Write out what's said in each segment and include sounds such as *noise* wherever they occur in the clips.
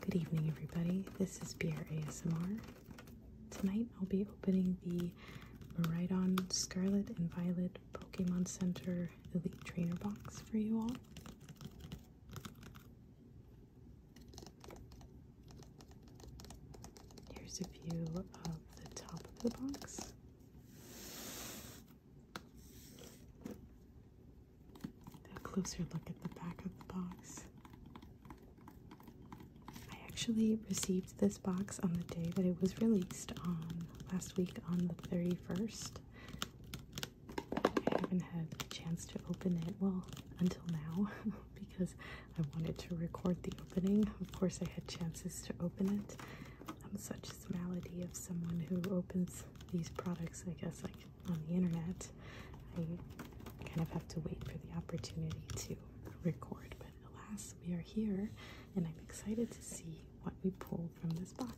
Good evening, everybody. This is Beer ASMR. Tonight I'll be opening the on Scarlet and Violet Pokemon Center Elite Trainer box for you all. Here's a view of the top of the box. A closer look at the back of the box. I actually received this box on the day that it was released on um, last week on the 31st. I haven't had a chance to open it, well, until now, *laughs* because I wanted to record the opening. Of course, I had chances to open it. I'm such a malady of someone who opens these products, I guess I on the internet. I kind of have to wait for the opportunity to record, but alas, we are here and I'm excited to see what we pull from this box.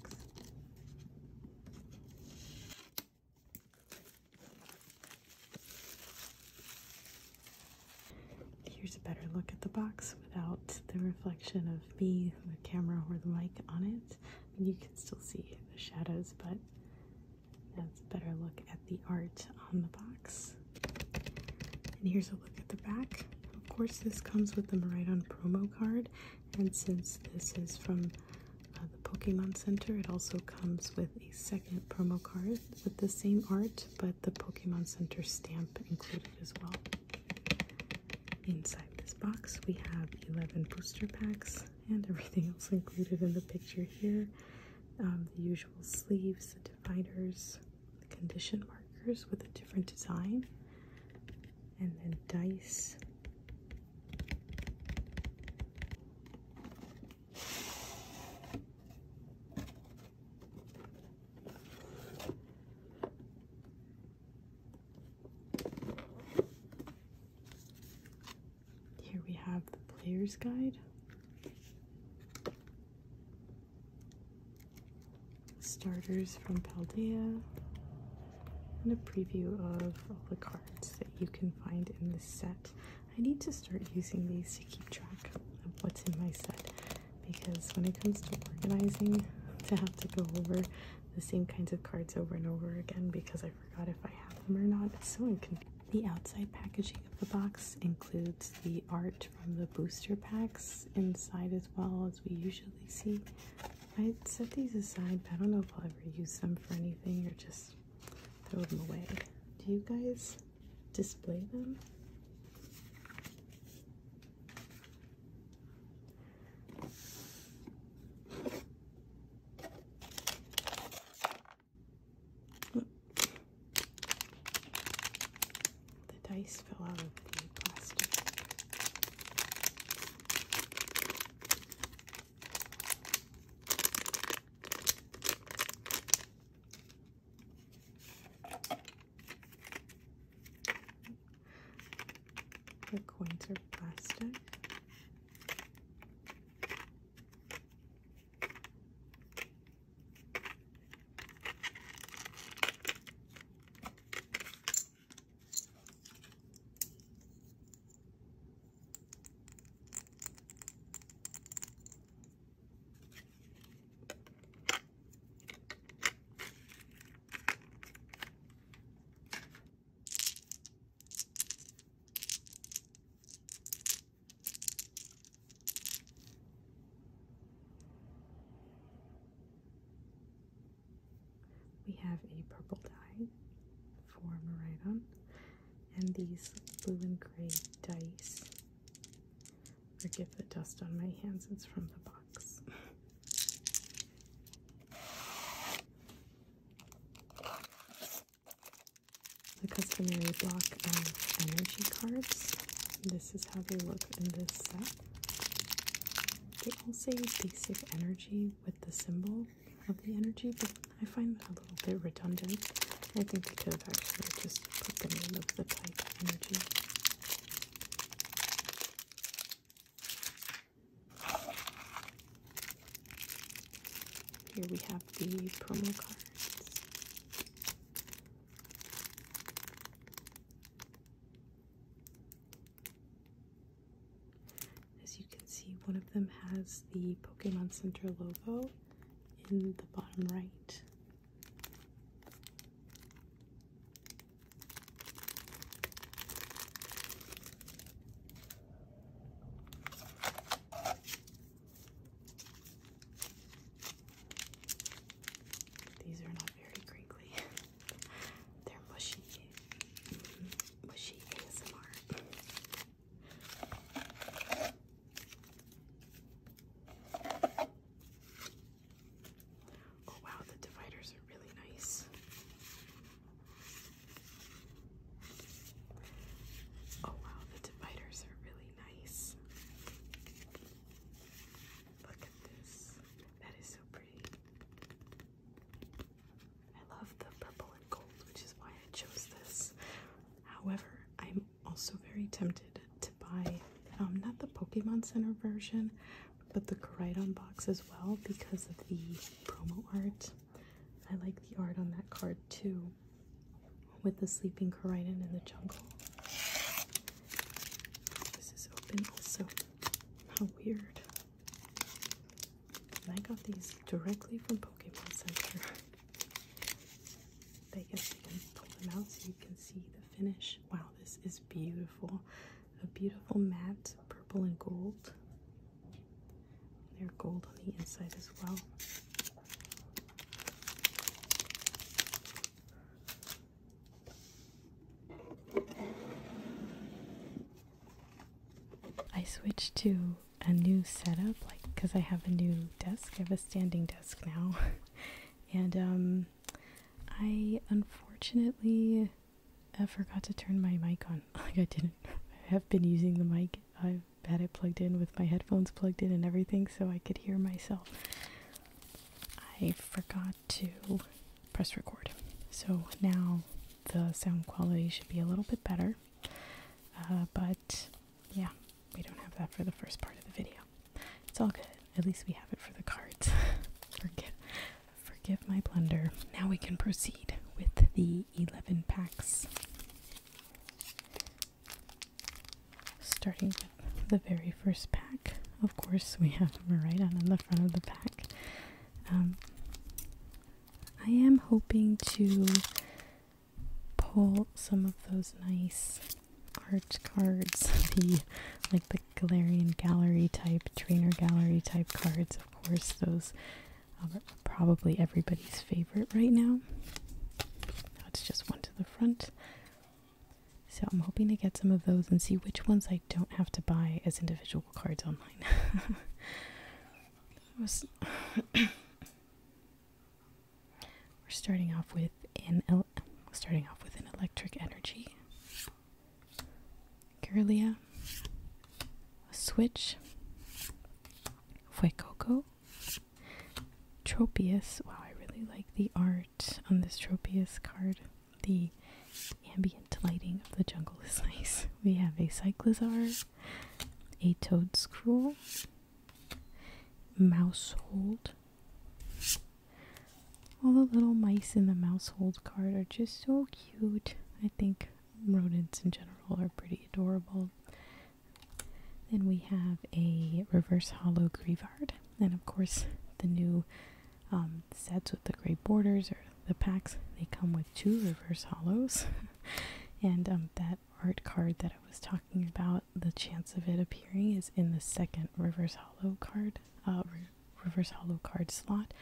Here's a better look at the box without the reflection of me, the camera, or the mic on it you can still see the shadows, but that's a better look at the art on the box. And here's a look at the back. Of course, this comes with the Maridon promo card, and since this is from uh, the Pokemon Center, it also comes with a second promo card with the same art, but the Pokemon Center stamp included as well. Inside this box, we have 11 booster packs and everything else included in the picture here. Um, the usual sleeves, the dividers, the condition markers with a different design, and then dice. Here we have the player's guide. Starters from Paldea and a preview of all the cards that you can find in this set. I need to start using these to keep track of what's in my set because when it comes to organizing, to *laughs* have to go over the same kinds of cards over and over again because I forgot if I have them or not. so The outside packaging of the box includes the art from the booster packs inside as well as we usually see. I set these aside, but I don't know if I'll ever use them for anything or just throw them away. Do you guys display them? The dice fell out of the plastic. The coins are plastic. We have a purple die for Maridon and these blue and gray dice. Forgive the dust on my hands, it's from the box. The customary block of energy cards. This is how they look in this set. They all say basic energy with the symbol of the energy, but I find that a little bit redundant. I think they could have actually just put them in of the type energy. Here we have the promo cards. As you can see, one of them has the Pokemon Center logo in the bottom right. These are not very crinkly. *laughs* They're mushy. Mm -hmm. Mushy Oh wow, the dividers are really nice. Oh wow, the dividers are really nice. Look at this. That is so pretty. I love the purple and gold, which is why I chose this. However, I'm also very tempted to buy um, not the Pokemon Center version, but the Koridon box as well because of the promo art. I like the art on that card too with the sleeping Koridon in the jungle. This is open also. How weird. I got these directly from Pokemon Center. I *laughs* guess you can pull them out so you can see the finish. Wow, this is beautiful a beautiful matte purple and gold. And they're gold on the inside as well. I switched to a new setup, like because I have a new desk. I have a standing desk now, *laughs* and um, I unfortunately I forgot to turn my mic on. *laughs* Like I didn't. have been using the mic. I've had it plugged in with my headphones plugged in and everything so I could hear myself. I forgot to press record. So now the sound quality should be a little bit better. Uh, but yeah, we don't have that for the first part of the video. It's all good. At least we have it for the cards. *laughs* Forget Forgive my blunder. Now we can proceed with the 11 packs. Starting with the very first pack. Of course, we have Marita in the front of the pack. Um, I am hoping to pull some of those nice art cards, *laughs* the like the Galarian gallery type, trainer gallery type cards. Of course, those are probably everybody's favorite right now. Now it's just one to the front. So I'm hoping to get some of those and see which ones I don't have to buy as individual cards online. *laughs* *coughs* We're starting off with an starting off with an electric energy. Kirlia, Switch, Fuecoco, Tropius. Wow, I really like the art on this Tropius card. The ambient lighting of the jungle is *laughs* nice. We have a Cyclozar, a Toad Scroll, Mouse all the little mice in the mousehold card are just so cute. I think rodents in general are pretty adorable. Then we have a reverse hollow Grievard, and of course, the new um, sets with the gray borders or the packs they come with two reverse hollows. *laughs* and um, that art card that I was talking about, the chance of it appearing is in the second reverse hollow card, uh, reverse hollow card slot.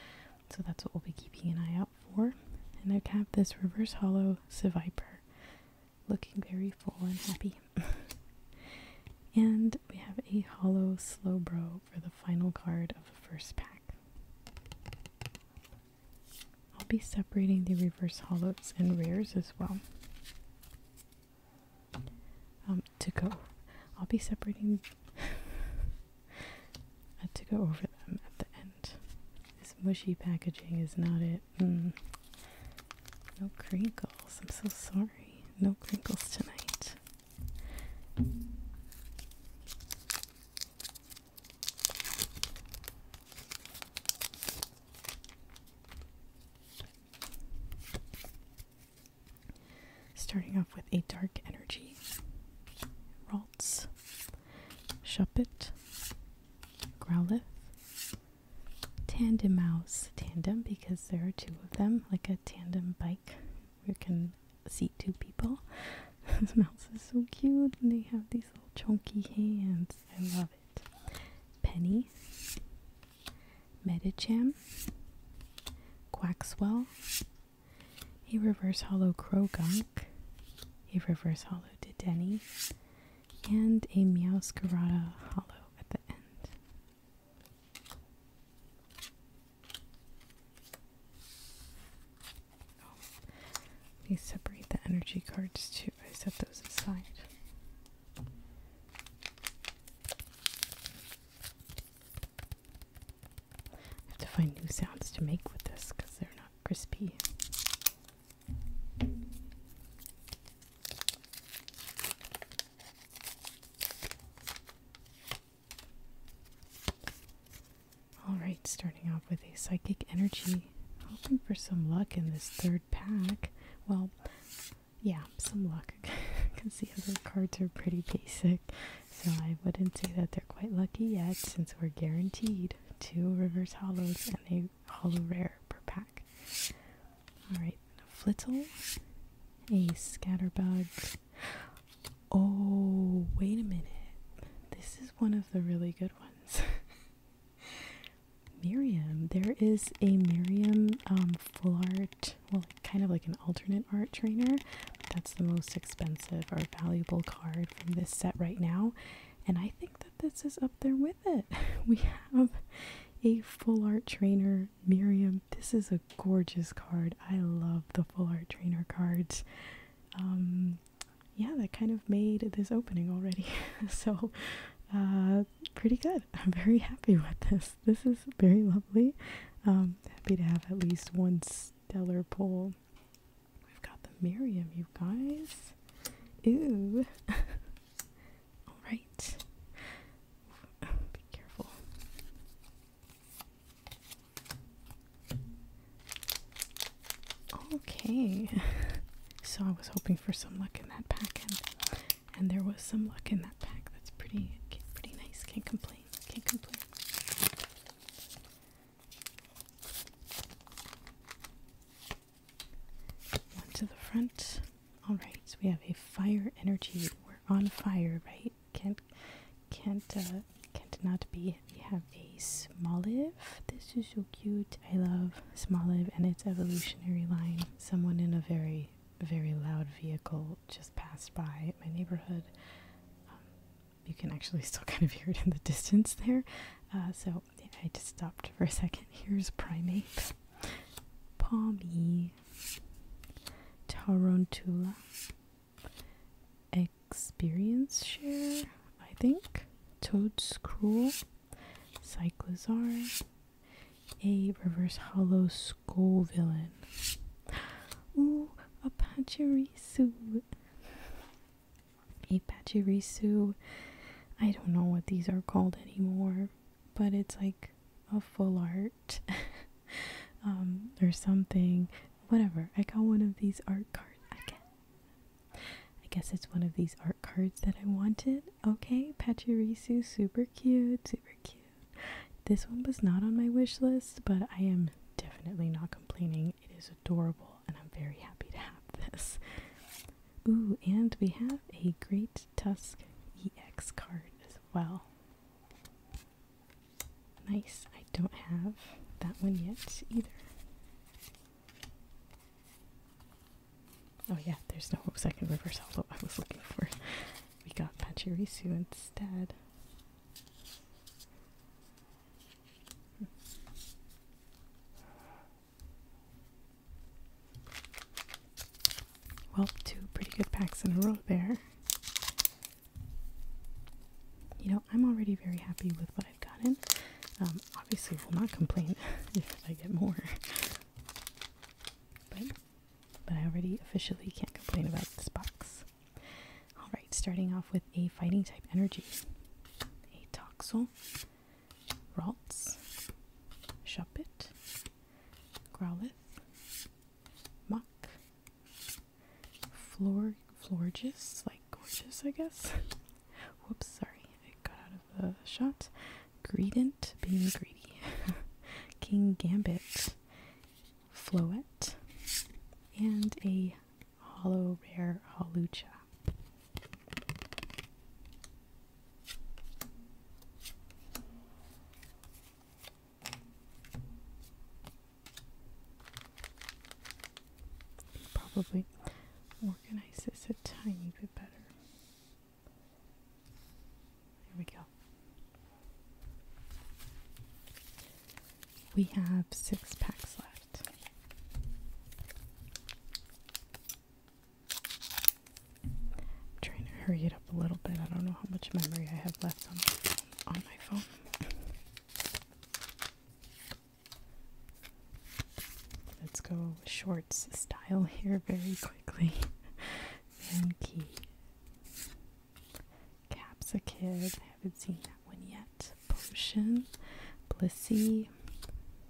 So that's what we'll be keeping an eye out for. And I've tapped this reverse hollow Seviper, looking very full and happy. *laughs* and we have a hollow Slowbro for the final card of the first pack. I'll be separating the reverse hollows and rares as well um to go I'll be separating *laughs* to go over them at the end. This mushy packaging is not it. Mm. No crinkles. I'm so sorry. No crinkles tonight. Starting off with a dark energy, Ralts, Shuppet, Growlithe, Tandem Mouse, tandem because there are two of them, like a tandem bike. where You can seat two people. *laughs* this mouse is so cute, and they have these little chunky hands. I love it. Penny, Medicham, Quaxwell, a reverse hollow Krogunk, a reverse hollow Dedenne, and a Meowscarada hollow at the end. Oh, we separate the energy cards too. I set those aside. I have to find new sounds to make with this because they're not crispy. Alright, starting off with a psychic energy. Hoping for some luck in this third pack. Well, yeah, some luck. because *laughs* the other cards are pretty basic, so I wouldn't say that they're quite lucky yet since we're guaranteed two Rivers hollows and a hollow rare per pack. Alright, Flittle, a Scatterbug. Oh, wait a minute. This is one of the really good ones. *laughs* Miriam. There is a Miriam um, full art well, kind of like an alternate art trainer. That's the most expensive or valuable card from this set right now. And I think that this is up there with it. *laughs* We have a full art trainer, Miriam. This is a gorgeous card. I love the full art trainer cards. Um, yeah, that kind of made this opening already. *laughs* so uh, pretty good. I'm very happy with this. This is very lovely. Um, happy to have at least one stellar pull. We've got the Miriam, you guys. Ooh. *laughs* All right. Be careful. Okay. *laughs* So I was hoping for some luck in that pack, and there was some luck in that pack. That's pretty pretty nice. Can't complain. Can't complain. One to the front. Alright, so we have a fire energy. We're on fire, right? Can't can't uh, can't not be. We have a Smoliv. This is so cute. I love Smoliv and its evolutionary line. Someone in a very very loud vehicle just passed by my neighborhood. Um, you can actually still *laughs* kind of hear it in the distance there. Uh, so I just stopped for a second. Here's primates, Palmy, Tarantula, Experience Share, I think, Toadscruel, Cyclozar, a reverse hollow skull villain. Ooh, a Pachirisu. A Pachirisu. I don't know what these are called anymore, but it's like a full art *laughs* um, or something. Whatever. I got one of these art cards. I guess, I guess it's one of these art cards that I wanted. Okay, Pachirisu, super super cute, super cute. This one was not on my wish list, but I am definitely not complaining. It is adorable, and I'm very happy to have this. Ooh, and we have a Great Tusk EX card as well. Nice. I don't have that one yet either. Oh yeah, there's no second reverse hollow I was looking for. We got Pachirisu instead. Well, two pretty good packs in a row there. You know, I'm already very happy with what I've gotten. Um, obviously, will not complain *laughs* if I get more. But, but I already officially can't complain about this box. Alright, starting off with a fighting type energy. A Toxel, Ralts, Shuppet, Growlithe, Floor floor just like gorgeous I guess. *laughs* Whoops, sorry, I got out of the shot. Greedent, being greedy. *laughs* King Gambit, Floet, and a hollow rare halucha. Probably organize this a tiny bit better. There we go. We have six packs left. I'm trying to hurry it up a little bit. I don't know how much memory I have left on my, on my phone. Let's go shorts style here very quickly quickly. Van Key. Cap's a Haven't seen that one yet. Potion. Blissey.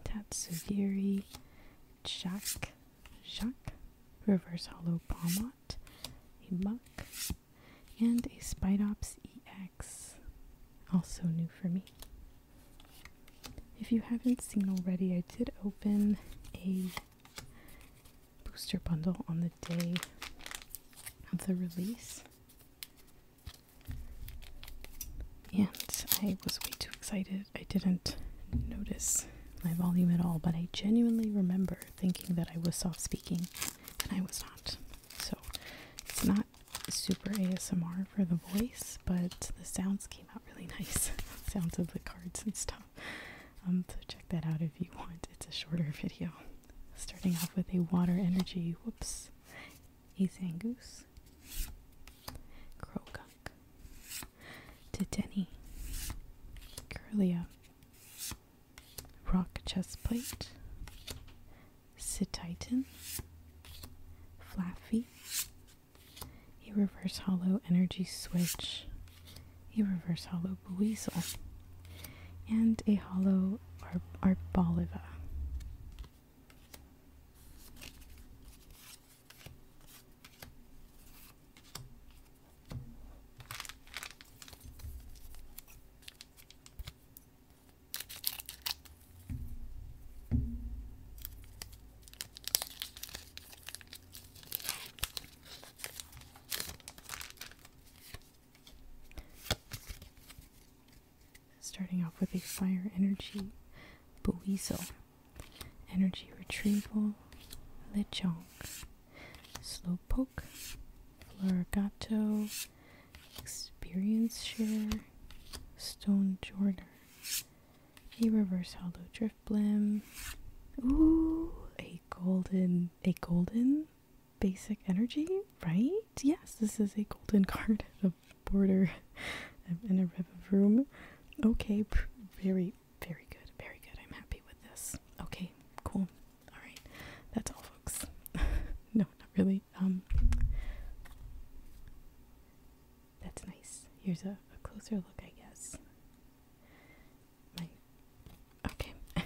Tatsugiri. Jack. Jacques. Reverse Hollow Bombot, A Muck. And a Spydops EX. Also new for me. If you haven't seen already, I did open a booster bundle on the day of the release. And I was way too excited. I didn't notice my volume at all, but I genuinely remember thinking that I was soft speaking, and I was not. So it's not super ASMR for the voice, but the soundscape out really *laughs* nice. Sounds of the cards and stuff. Um, so check that out if you want. It's a shorter video. Starting off with a water energy. Whoops. Azan Goose. Crocunk. Titeni. Curlia. Rock chest plate. Cititan. Fluffy a reverse hollow energy switch, a reverse hollow Buizel, and a hollow Ar Arboliva. Starting off with a fire energy, Buizel, energy retrieval, slow poke, Florigato, Experience Share, Stone Jordan, a reverse hollow drift blim. Ooh, a golden, a golden basic energy, right? Yes, this is a golden *laughs* card of border and a room. Okay, very, very good, very good. I'm happy with this. Okay, cool. All right, that's all, folks. *laughs* no, not really. Um, that's nice. Here's a, closer look, I guess. My okay. *laughs*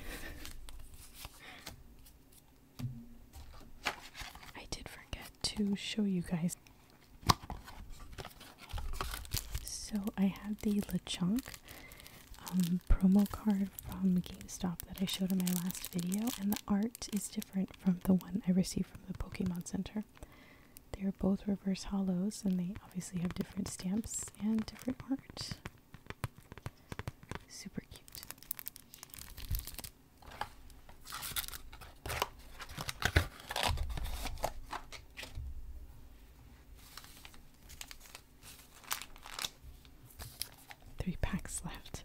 I did forget to show you guys. So I have the LeChonk um, promo card from GameStop that I showed in my last video, and the art is different from the one I received from the Pokemon Center. They are both reverse hollows and they obviously have different stamps and different art. Super cute. Three packs left.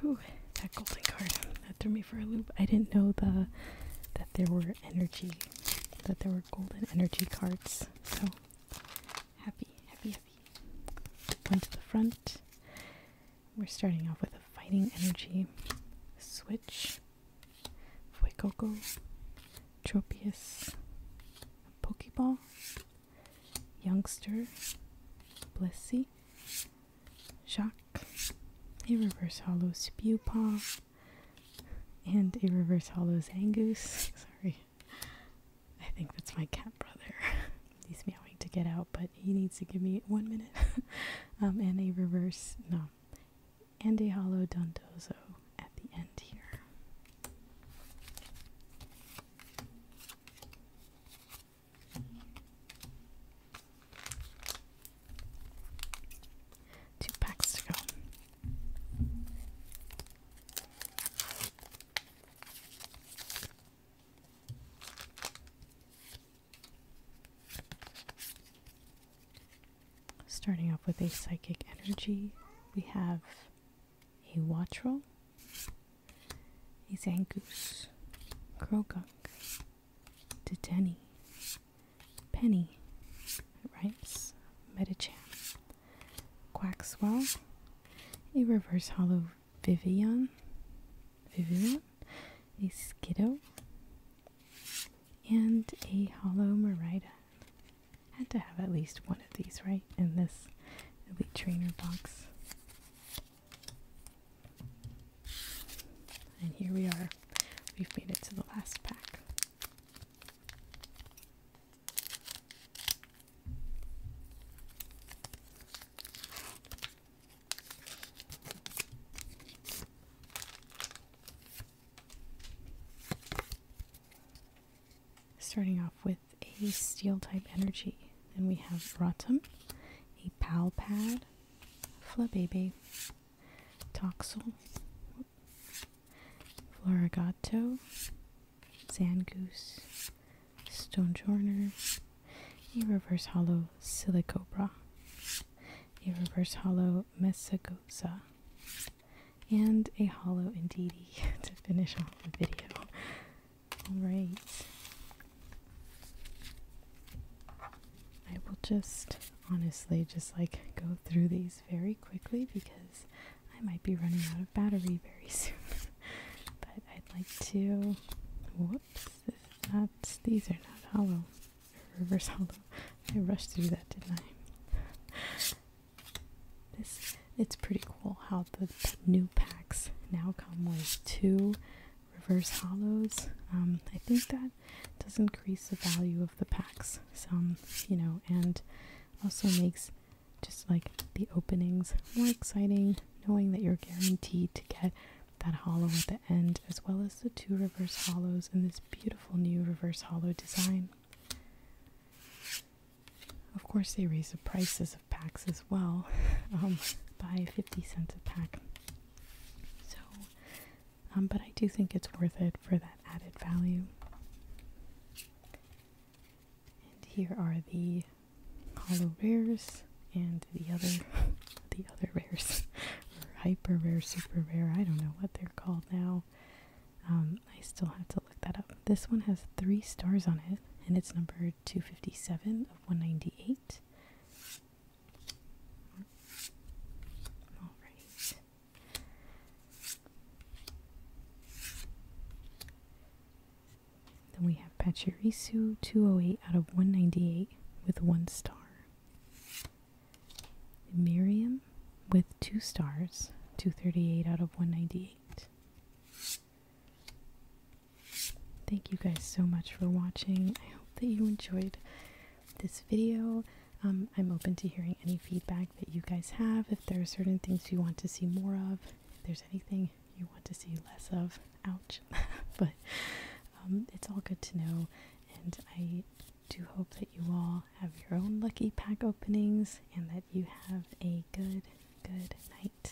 Whew, that golden card that threw me for a loop. I didn't know the that there were energy, that there were golden energy cards. So happy, happy, happy. One to the front. We're starting off with a fighting energy. Switch. Fuecoco. Tropius. Pokeball. Youngster. Blissey. Shock, a reverse hollow Spewpaw, and a reverse hollow Zangoose. Sorry, I think that's my cat brother. *laughs* He's meowing to get out, but he needs to give me one minute. *laughs* um, and a reverse, no, and a hollow Dondozo at the end here. Two packs to go. Starting off with a psychic energy, we have a Watrel, is Angus, Krogunk, Dedenny, Penny, Rice, Metacham, Quackswell, a Reverse Hollow Vivian, Vivian, a Skiddo, and a Hollow Merida. Had to have at least one of these, right? In this Elite Trainer box. And here we are. We've made it to the last pack. Starting off with a steel type energy. And we have Rotom, a Palpad, Flabébé, Toxel, Florigato, Zangoose, Stonejorner, a Reverse Hollow Silicobra, a Reverse Hollow Mesagosa, and a Hollow Indeedee *laughs* to finish off the video. All right. I will just honestly just like go through these very quickly because I might be running out of battery very *laughs* soon. but I'd like to. Whoops, these are not hollow. Reverse hollow. I rushed through that, didn't I? this it's pretty cool how the new packs now come with two reverse hollows. Um, I think that does increase the value of the packs some, you know, and also makes just like the openings more exciting, knowing that you're guaranteed to get that hollow at the end, as well as the two reverse hollows in this beautiful new reverse hollow design. Of course, they raise the prices packs as well um, by 50 cents a pack. So, um, but I do think it's worth it for that added value. And here are the hollow rares and the other, *laughs* the other rares, *laughs* hyper rare, super rare. I don't know what they're called now. Um, I still have to look that up. This one has three stars on it, and it's number 257 of 198. All right. Then we have Pachirisu 208 out of 198 with one star. Miriam with two stars, 238 out of 198. Thank you guys so much for watching. I hope that you enjoyed this video. Um, I'm open to hearing any feedback that you guys have. If there are certain things you want to see more of, if there's anything you want to see less of, ouch. *laughs* but um, it's all good to know. And I do hope that you all have your own lucky pack openings and that you have a good, good night.